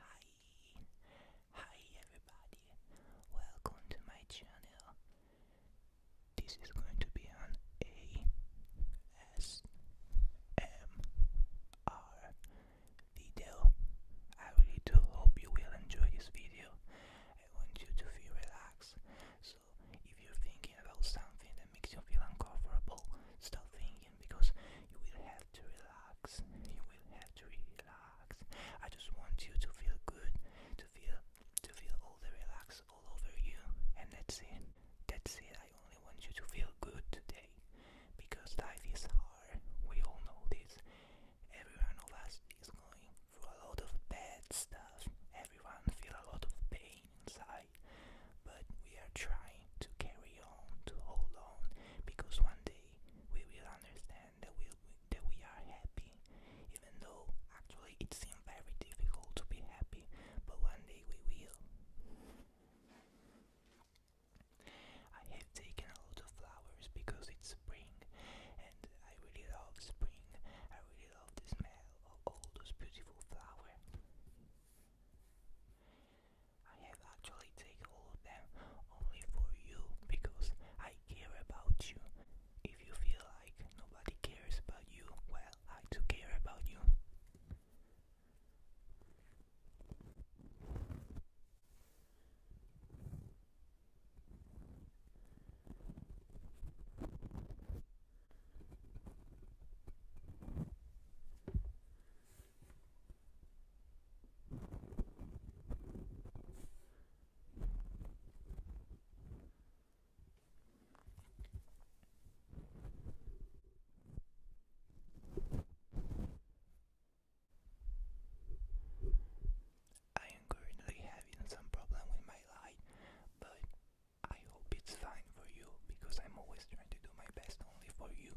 Hi, hi everybody, welcome to my channel. This is going to be an ASMR video. I really do hope you will enjoy this video. I want you to feel relaxed. So if you're thinking about something that makes you feel uncomfortable, stop thinking because you will have to relax. You will have to relax. I just want you to feel good, to feel to feel all the relax all over you, and that's it. That's it. I only want you to feel good today because life is hard. We all know this. Everyone of us is going through a lot of bad stuff. Everyone feel a lot of pain inside, but we are trying to carry on, to hold on, because one day we will understand that we that we are happy, even though actually it seems very difficult to be happy, but one day we will. I have taken a lot of flowers because it's spring and I really love spring. I really love the smell of all those beautiful flowers. I have actually taken all of them only for you because I care about you. If you feel like nobody cares about you, well, I do care about you. I am currently having some problem with my light, but I hope it's fine for you because I'm always trying to do my best only for you.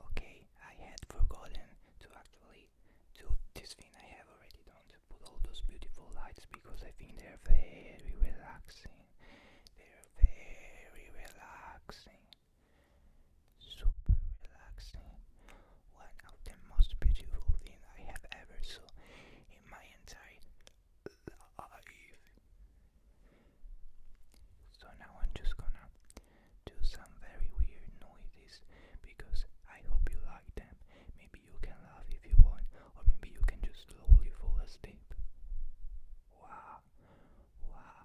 Okay, I had forgotten to actually do this thing I have already done to put all those beautiful lights because I think they're very relaxing. They're very relaxing super relaxing, one of the most beautiful things I have ever saw in my entire life. So now I'm just gonna do some very weird noises because I hope you like them. Maybe you can laugh if you want, or maybe you can just slowly fall asleep. Wow, wow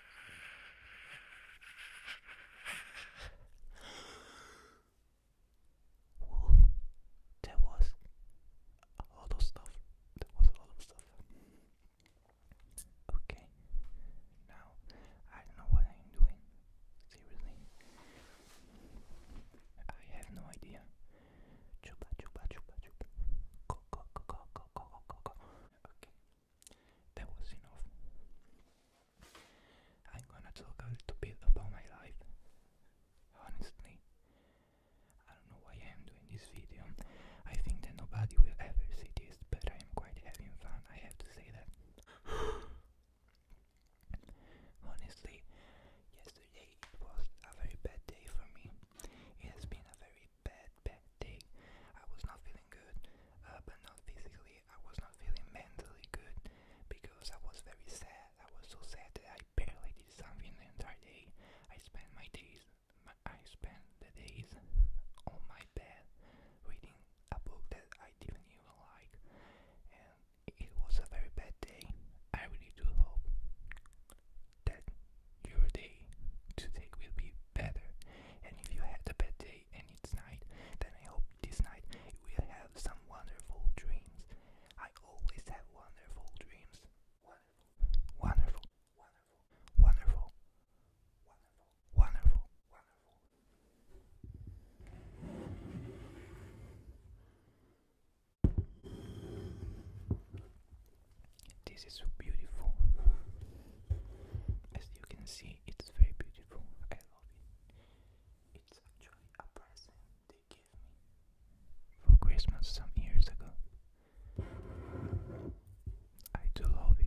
Well, there was a lot of stuff. There was a lot of stuff. Okay. Now I don't know what I'm doing. Seriously. I have no idea. Chupa chupa chupa chupa. Go go go go go go go go. Okay. That was enough. I'm gonna talk a little bit about my life. Honestly, I don't know why I am doing this video. I think that nobody will ever see this, but I am quite having fun, I have to say that. Honestly, yesterday it was a very bad day for me. It has been a very bad, bad day. I was not feeling good, uh, but not physically. I was not feeling mentally good because I was very sad. I was so sad that I barely did something the entire day. I spent my days, I spent the days on my bed reading a book that I didn't even like, and it was a very bad day. I really do hope that your day today will be better. And if you had a bad day and it's night, then I hope this night you will have some wonderful dreams. I always have wonderful dreams. Wonderful. Wonderful. Wonderful. Wonderful. Wonderful. This is so beautiful. As you can see, it's very beautiful. I love it. It's actually a present they gave for Christmas some years ago. I do love it.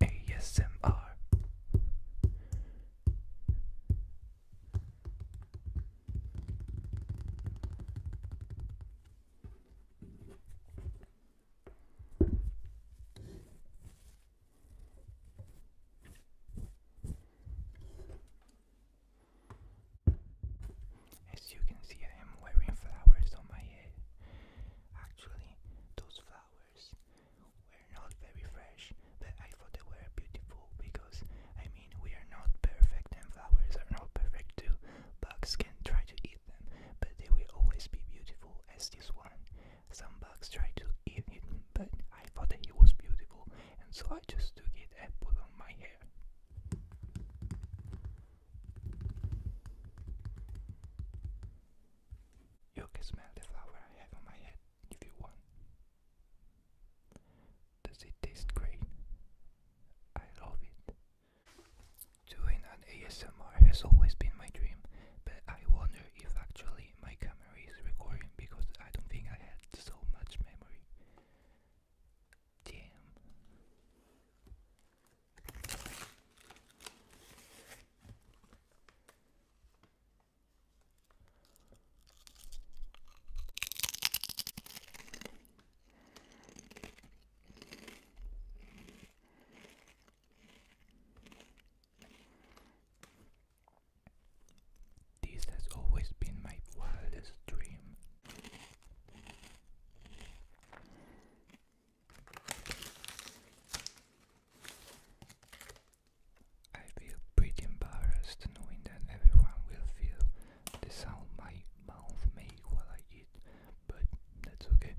ASMR. As you can see, I am wearing flowers on my head. Actually, those flowers flowers were not very fresh, but I thought they were beautiful because, I mean, we are not perfect and flowers are not perfect too. Bugs can try to eat them, but they will always be beautiful as this one. Some bugs try to eat it, but I thought it was beautiful, and so I just took it and put on my hair. You can smell the flower I have on my head if you want. Does it taste great? I love it. Doing an ASMR has always been my dream, but I wonder if actually my camera is recording because I don't think I had so much memory. Damn. This has always been my wildest dream. I feel pretty embarrassed knowing that everyone will feel the sound my mouth makes while I eat, but that's okay.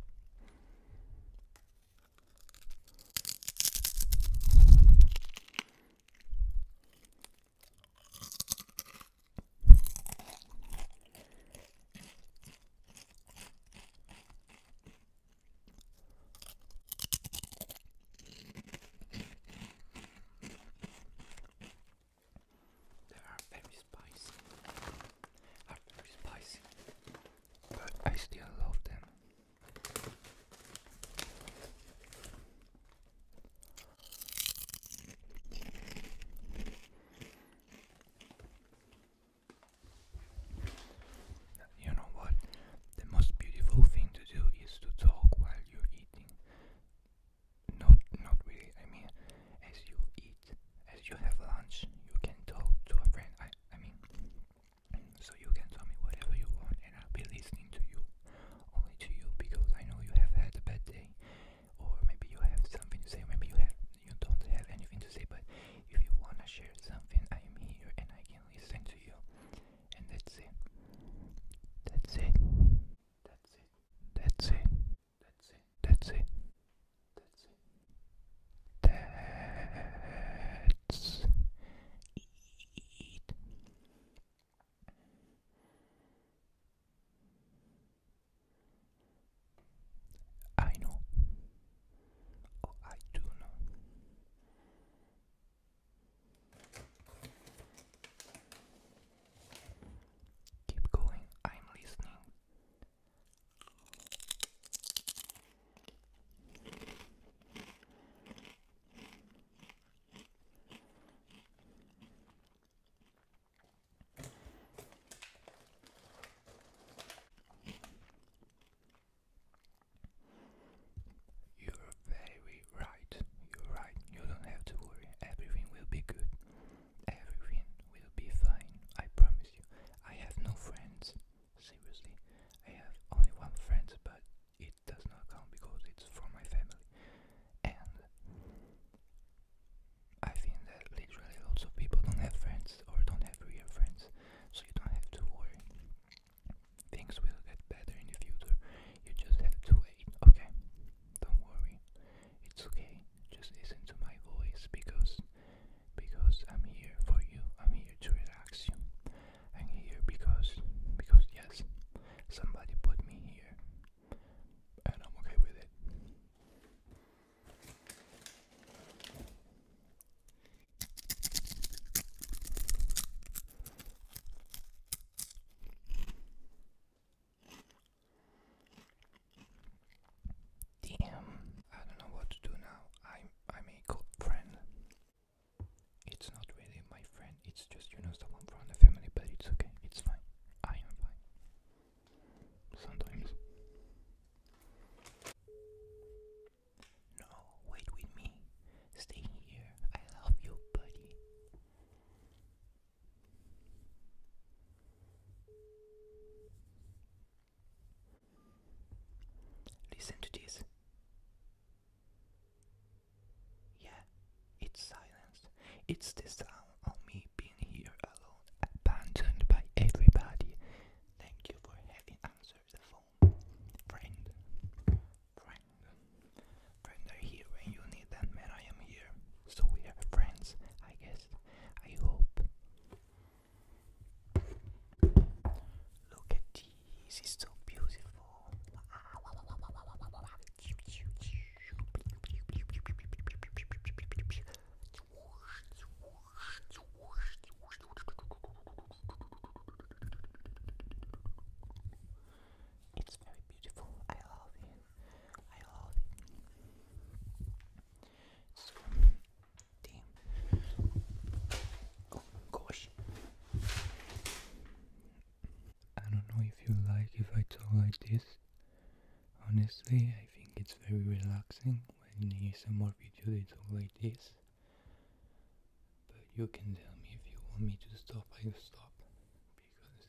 They are very spicy. Are very spicy. But I still love them. You know what? The most beautiful thing to do is to talk while you're eating. Not, not really. I mean, as you eat, as you have lunch, you can talk to a friend. I, I mean, so you can tell me whatever you want, and I'll be listening to you, only to you, because I know you have had a bad day, or maybe you have something to say, maybe you have, you don't have anything to say. But if you wanna share something, I am here, and I can he listen to you. And that's it. That's it. That's it. That's it. That's it. That's it. That's it. That's it. I know. Oh, I do know. Keep going, I'm listening. You're very right. You're right. You don't have to worry. Everything will be good. Everything will be fine. I promise you. I have no friends. Seriously. I have only one friend, but it does not count because it's from my family. And I think that literally lots of people don't have friends or don't have real friends. So you don't have to worry. Things will get better in the future. You just have to wait, okay? Don't worry. It's okay. Just listen to my voice because because I'm here for you. I'm here to relax you. I'm here because because yes, somebody put me here. And I'm okay with it. Damn, I don't know what to do now. i I'm a good friend. It's not really my friend, it's just you know someone from the family, but it's okay, it's fine. I am fine. Sometimes. No, wait with me. Stay here. I love you, buddy. Listen to this. Yeah, it's silence. It's the sound of me being here alone, abandoned by everybody. Thank you for having answered the phone phone. Friend, friend, friend are here when you need them, man. I am here. So we are friends, I guess. I hope. Look at these, it's so beautiful. It's very beautiful. I love it. I love it. So, damn. Oh gosh. I don't know if you like if I talk like this. Honestly, I think it's very relaxing when in more video they talk like this. But you can tell me if you want me to stop, I'll stop. Because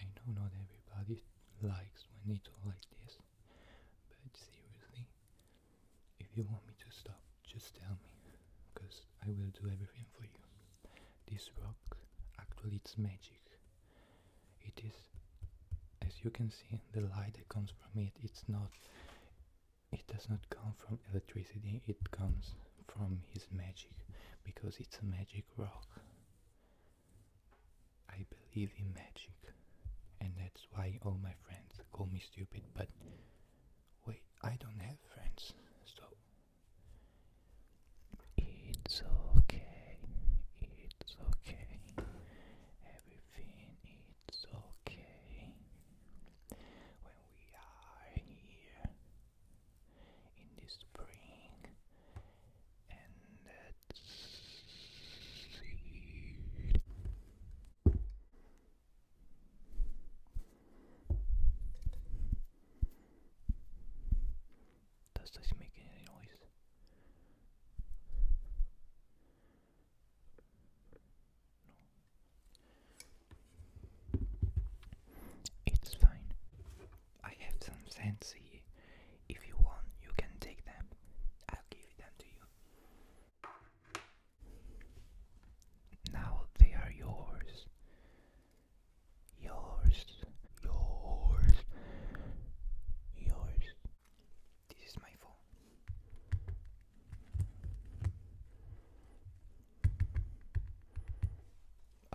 I know not everybody likes when they talk like this. But seriously, if you want me to stop, just tell me. Because I will do everything for you. This rock, actually it's magic. It is, as you can see, the light that comes from it, it's not it does not come from electricity, it comes from his magic, because it's a magic rock. I believe in magic, and that's why all my friends call me stupid, but wait, I don't have friends, so it's okay, it's okay, everything is okay when we are here in the spring and at sea. Does this make any noise? It's fine. I have some sense If you want, you can take them. I'll give them to you. Now they are yours. Yours. Yours. Yours. This is my fault.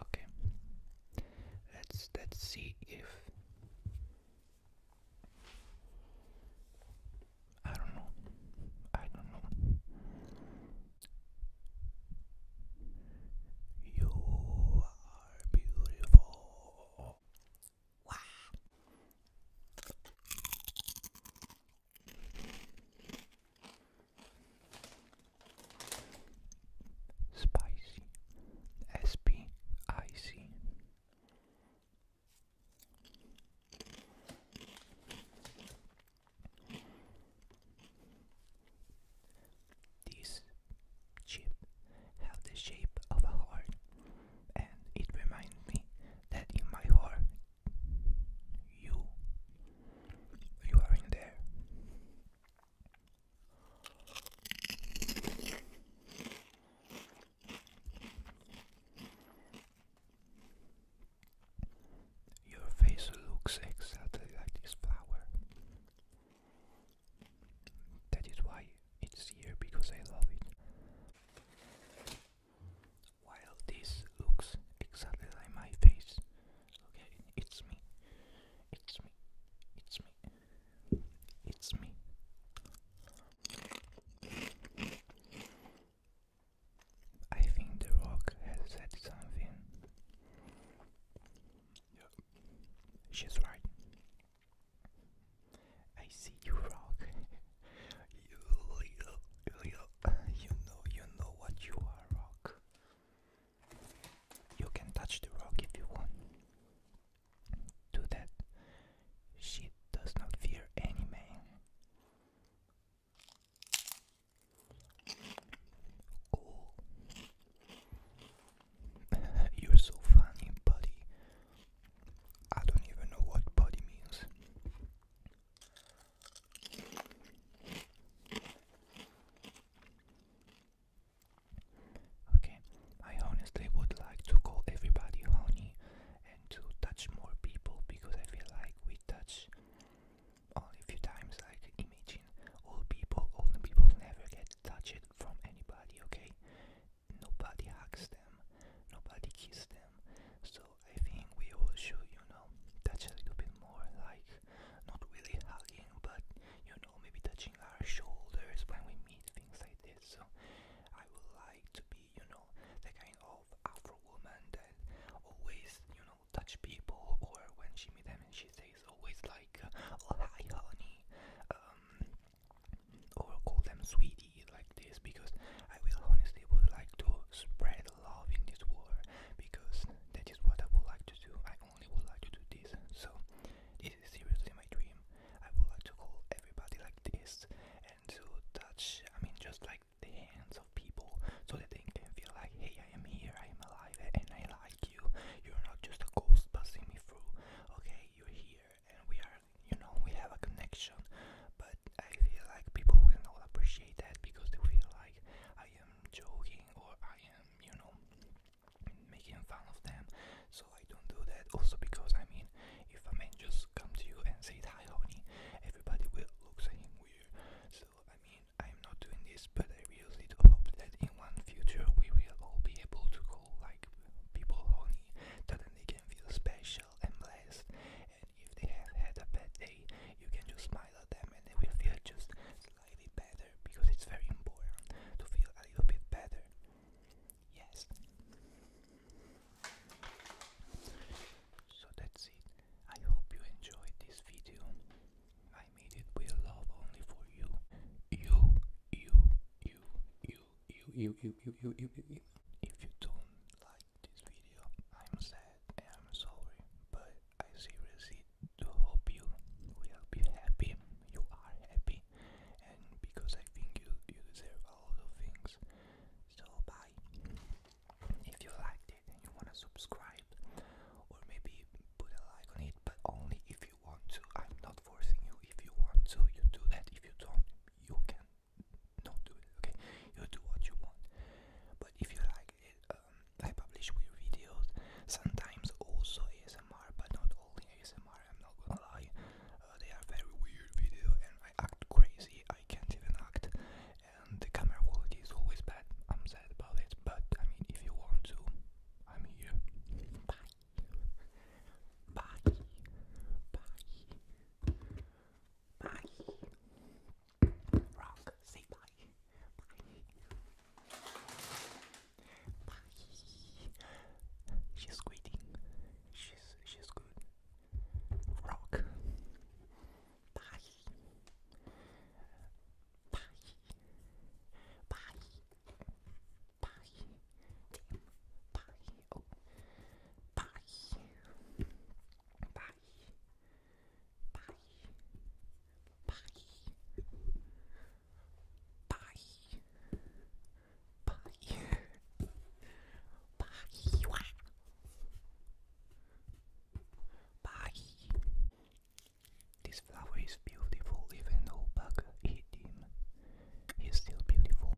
Okay. Let's let's see if I don't know. I don't know. You are beautiful. Wow. Spicy. S P I C. This chip had the shape of a heart, and it reminded me that in my heart you. You are in there. Your face looks exactly like this flower. That is why it's here because I love it. While this looks exactly like my face, okay, it's me, it's me, it's me, it's me. I think The Rock has said something. Yep. She's right. I see you, Rock. You, you, you know, you know what you are, rock. You can touch the rock if you want. Do that. She does not fear any man. Cool. You're so funny, buddy. I don't even know what buddy means. Okay, I honestly would like to call everybody honey and to touch more people because I feel like we touch only a few times. Like, imagine all people, all people never get touched from anybody, okay? Nobody hugs them, nobody kisses them, so I think we all should, you know, touch a little bit more, like not really hugging, but you know, maybe touching our shoulders when we meet, things like this. So I would like to be, you know, the kind of Afro woman that always, you know, touch people, or when she meet them and she says always like, oh hi honey, um, or call them "sweetie." like this because I will honestly would like to spread love in this world because that is what I would like to do. I only would like to do this. So this is seriously my dream. I would like to call everybody like this and to touch I mean just like the hands of people so that they can feel like hey I am here, I am alive and I like you. You're not just a ghost passing me through. Okay, you're here and we are you know we have a connection but I feel like people will not appreciate that because they feel like I am joking or I am, you know, making fun of them. So I don't do that. Also because I mean, if a man just comes to you and says hi, honey, everybody will look at him weird. So I mean, I'm not doing this, but I really do hope that in one future we will all be able to call like people honey, that they can feel special and blessed if they have had a bad day, you can just smile at them and they will feel just slightly better because it's very important to feel a little bit better. Yes. So that's it. I hope you enjoyed this video. I made it with love only for you. You, you, you, you, you, you, you, you, you, you, you. If you don't like this video. I'm sad and I'm sorry, but I seriously do hope you will be happy. You are happy, and because I think you you deserve a lot of things. So bye. If you liked it and you wanna subscribe, or maybe put a like on it, but only if you want to. I'm not forcing you. If you want to, you do that. If you don't, you can not do it, okay? You do what you want. But if you like it, um, I publish weird videos, sometimes also ASMR, but not only ASMR, I'm not gonna lie. Uh, they are very weird video and I act crazy, I can't even act, and the camera quality is always bad. I'm sad about it, but I mean, if you want to, I'm here. Bye. Bye. Bye. Bye. Rock, say bye. Bye. Bye. She's quitting. She's she's good. Rock. Bye. Bye. Bye. Bye. Damn. Bye. Oh. Bye. Bye. Paris, Paris, Paris, Paris, Paris, Paris, Paris, This flower is beautiful, even though Bug hit him. He's still beautiful.